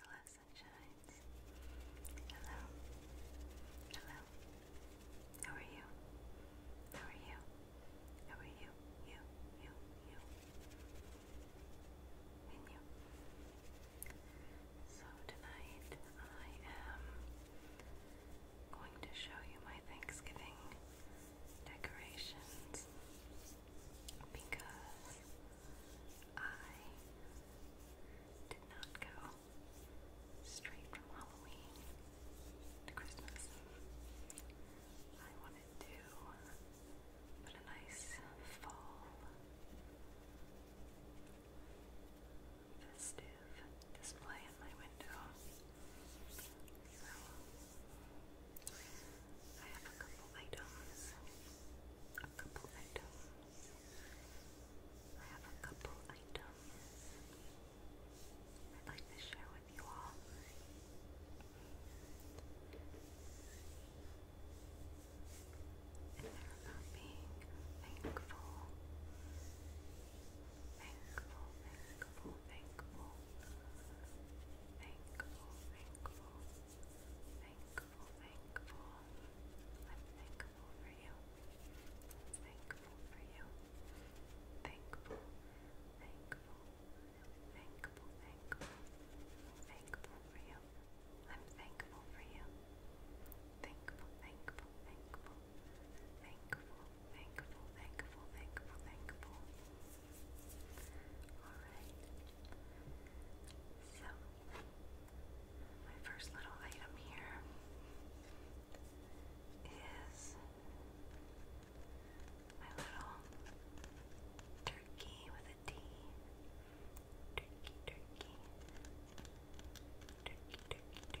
Hello, sunshines. Hello. Hello. How are you? How are you? How are you? You, you, you. And you. So tonight I am going to show you my Thanksgiving decorations because I did not go straight from Halloween to Christmas. I wanted to put a nice fall festive display in my window. I have a couple items. A couple items. I have a couple items. I'd like to share with you all. And about being thankful. Thankful, thankful, thankful. Thankful, thankful thankful, thankful. I'm thankful for you. thankful for you. Thankful, thankful, thankful, thankful. i thankful for you. I'm thankful for you. Thankful, thankful, thankful. Thankful, thankful, thankful, thankful, thankful. Alright. So, my first little item here is my little turkey with a D. turkey. Turkey, turkey, turkey. Turkey, turkey.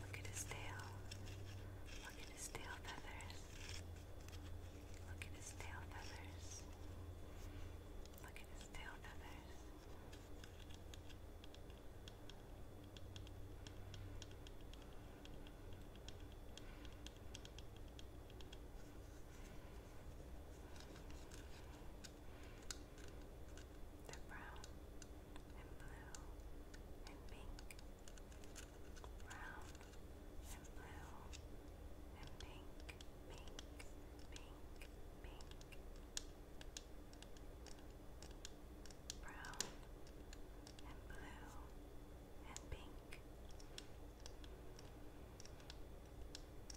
Look at his tail. Look at his tail feathers. Look at his tail feathers. Look at his tail feathers. Look they're brown and blue and pink. Brown and blue and pink, pink, pink, pink. Brown and blue and pink.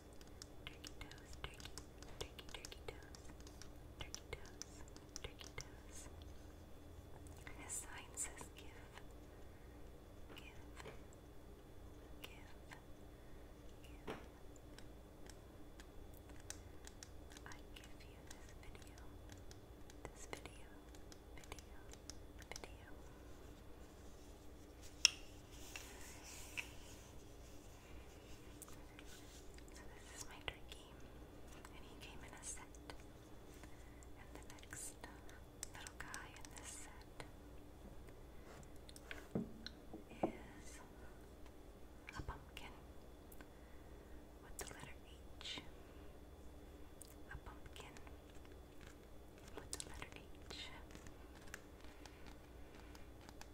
turkey toes, turkey, turkey, turkey toes, turkey toes, turkey toes. sign says give, give, give. I give you this video, this video, video, video. So this is my turkey, and he came in a set. And the next little guy in this set is a pumpkin with the letter H. A pumpkin with the letter H.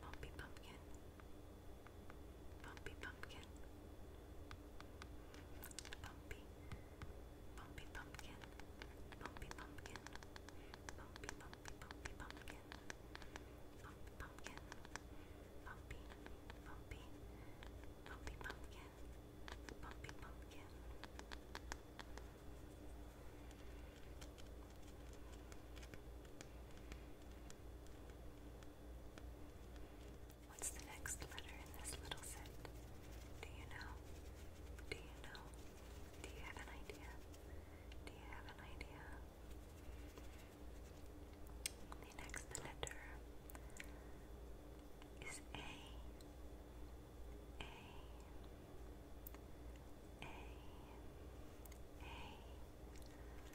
Bumpy Pumpkin. Bumpy Pumpkin. Bumpy. Bumpy Pumpkin. Bumpy Pumpkin. Bumpy Bumpy Bumpy Pumpkin. Bumpy Pumpkin. Bumpy. Bumpy. Bumpy Pumpkin. Bumpy Pumpkin. What's the next letter in this little set? Do you know? Do you know? Do you have an idea? Do you have an idea? The next letter is A. A. A. A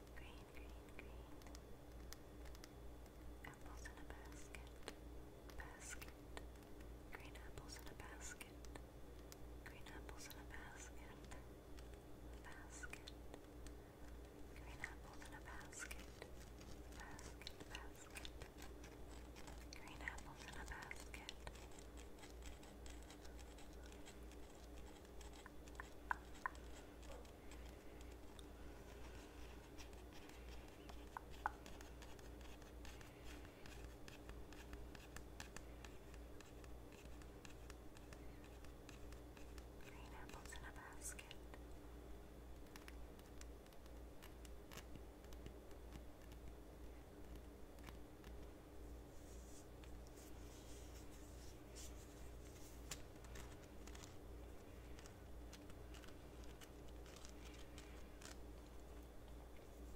Green, green, green. Apples in a basket. Basket. Green apples in a basket. Green apples in a basket. Basket. Green apples in a basket. Basket, basket. Green apples in a basket. apples in a basket. Green apples in a basket.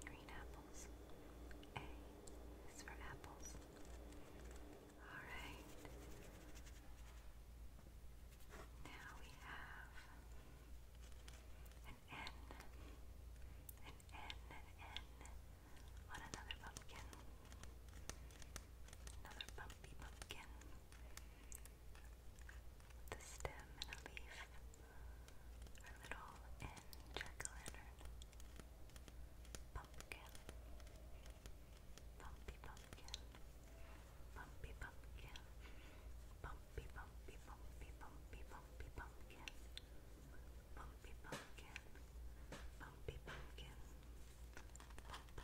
Green apples. A is for apples. All right. Now we have an N, an N, an N on another pumpkin. Another bumpy pumpkin with a stem and a leaf. Our little end jack-o'-lantern. Pumpkin. Bumpy pumpkin. Bumpy pumpkin. Bumpy bumpy bumpy bumpy bumpy pumpkin. Bumpy pumpkin. Bumpy pumpkin. Bump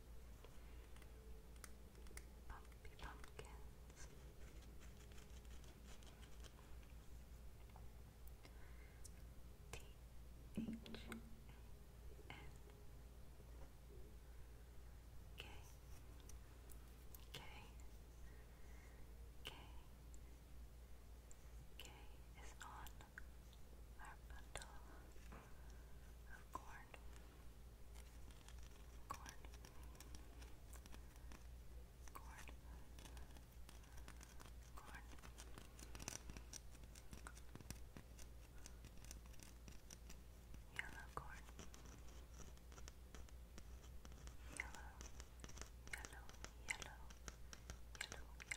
Bumpy Pumpkins. T H A N K K K K is on our bundle of corn. Corn. Corn. Corn. Yellow corn. Yellow. Yellow. Yellow. Yellow. Yellow.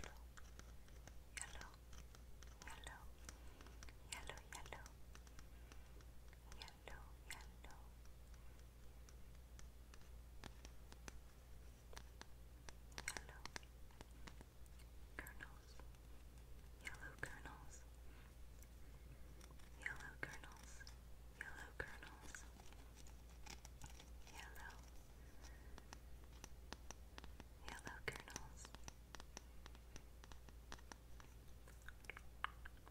Yellow yellow, yellow, yellow, yellow, yellow. Yellow kernels, yellow kernels, yellow kernels, yellow kernels, yellow, yellow kernels,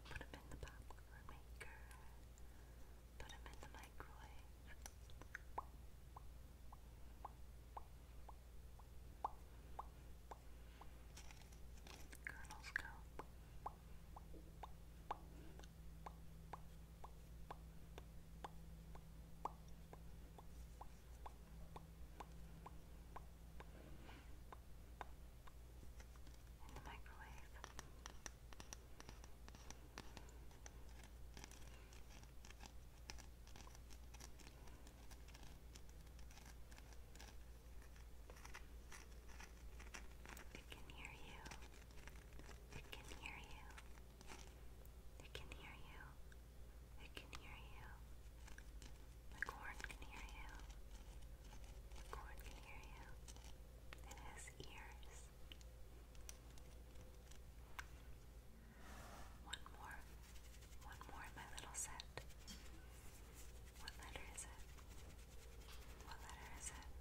Put them in the popcorn maker. Put them in the microwave. Kernels go. Put in can hear you. It can hear you. It can hear you. It can hear you. The corn can hear you. corn can hear you. It has ears. One more. One more in my little set. What letter is it? What letter is it?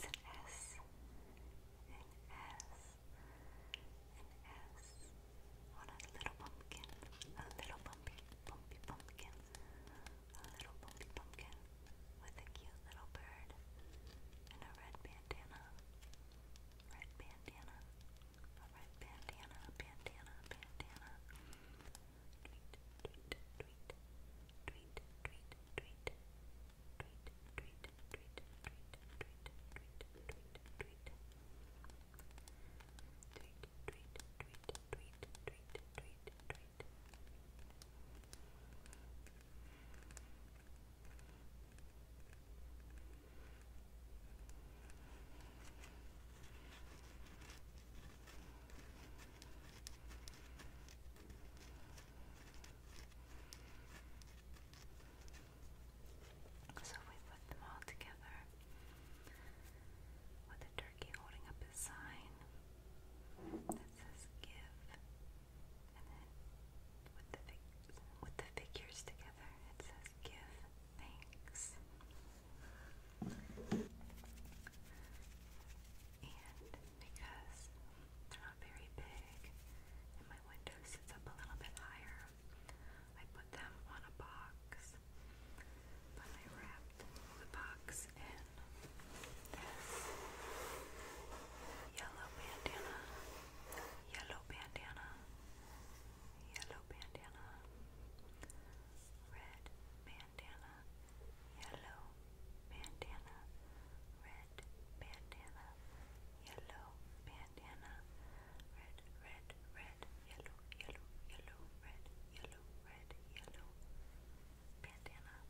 It's an S. S on a little pumpkin, a little bumpy, bumpy pumpkin, a little bumpy pumpkin with a cute little bird and a red bandana, red bandana, red bandana, bandana, bandana. tweet, tweet, tweet, tweet, tweet, tweet tweet so we put them all together with the turkey holding up his sign that says give and then with the figures together it says give thanks. And because they're not very big, and my window sits up a little bit higher. I put them on a box, but I wrapped the box in this yellow bandana, yellow bandana, yellow bandana, red bandana yellow bandana, red bandana, yellow bandana, red, red, red, yellow, yellow, yellow, red, yellow, red, yellow bandana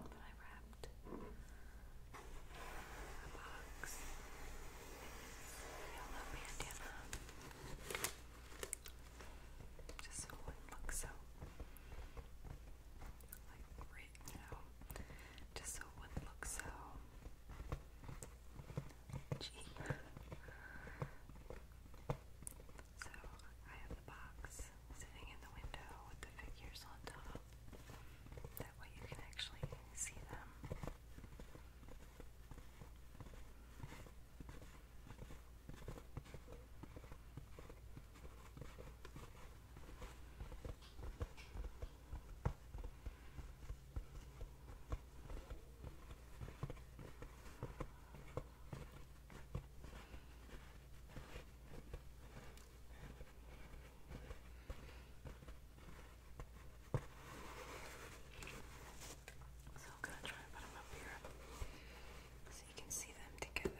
that I wrapped a box yellow bandana just so it looks so like written out just so it wouldn't look so cheap. So I have the box sitting in the window with the figures on top. That way you can actually see them. So I'm gonna try to put them up here so you can see them together.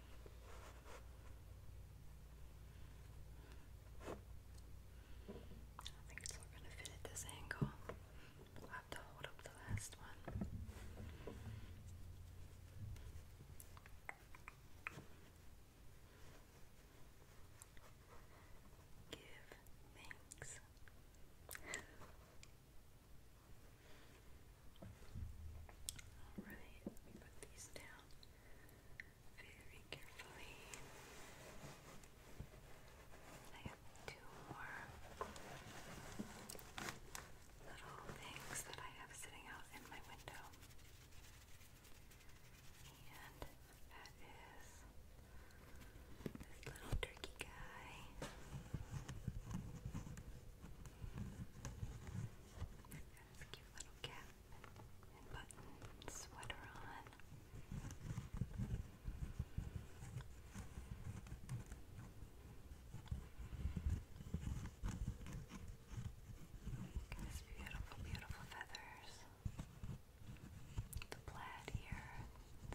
I think it's not going to fit at this angle. I'll have to hold up the last one. Give thanks. Alright, let me put these down very carefully. I have two more little things that I have sitting out in my window. And that is this little turkey guy. Got his cute little cat and button sweater on. Look beautiful, beautiful feathers. The plaid here,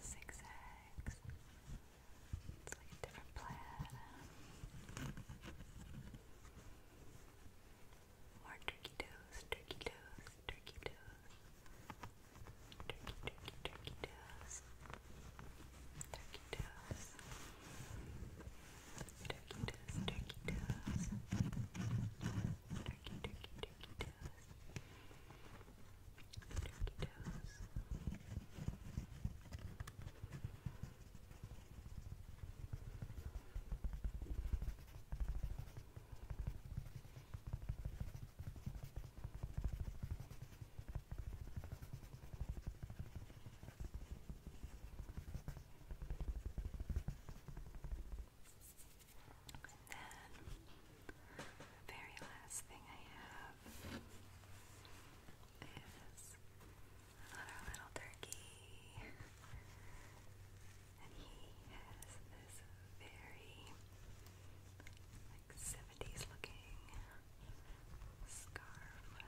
zigzags. It's like a different plaid. More turkey toes, turkey toes, turkey toes. Turkey, turkey, turkey toes. Turkey toes. Turkey toes, turkey toes. Turkey, turkey, turkey toes. Turkey toes. Turkey toes. Turkey toes. And then the very last thing I have is our little turkey. And he has this very like 70s looking scarf.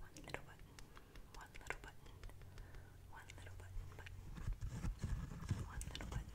One little button, one little button, one little button, button, one little button,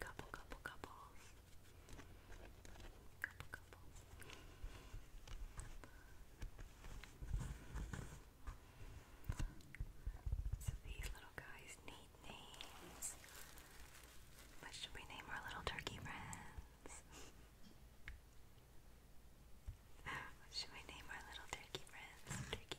Couple, couple, couples. Couple, couples. So these little guys need names. What should we name our little turkey friends? what should we name our little turkey friends? Turkey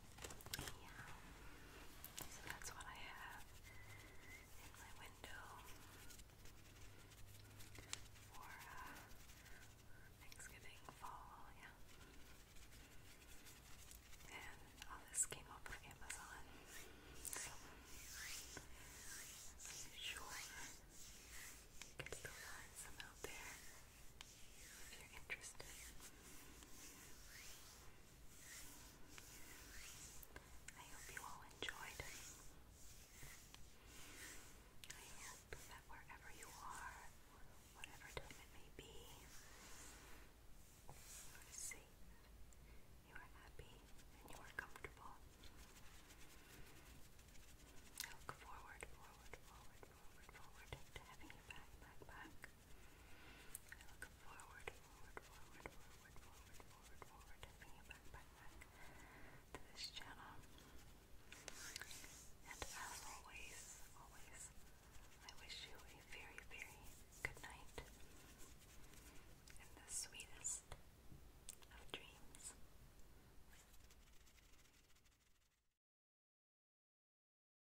Yeah. So that's what I have in my window for uh, Thanksgiving fall. Yeah. And all this came over Amazon. sure you can find some out there if you're interested. I hope you all enjoyed. I hope that wherever you are, whatever time it may be, you are safe, you are happy, and you are comfortable. I look forward, forward, forward, forward, forward to having you back, back, back. I forward, forward, forward, forward, forward, forward, forward, to being back, back, back to this channel. And as always, always, I wish you a very, very good night and the sweetest of dreams.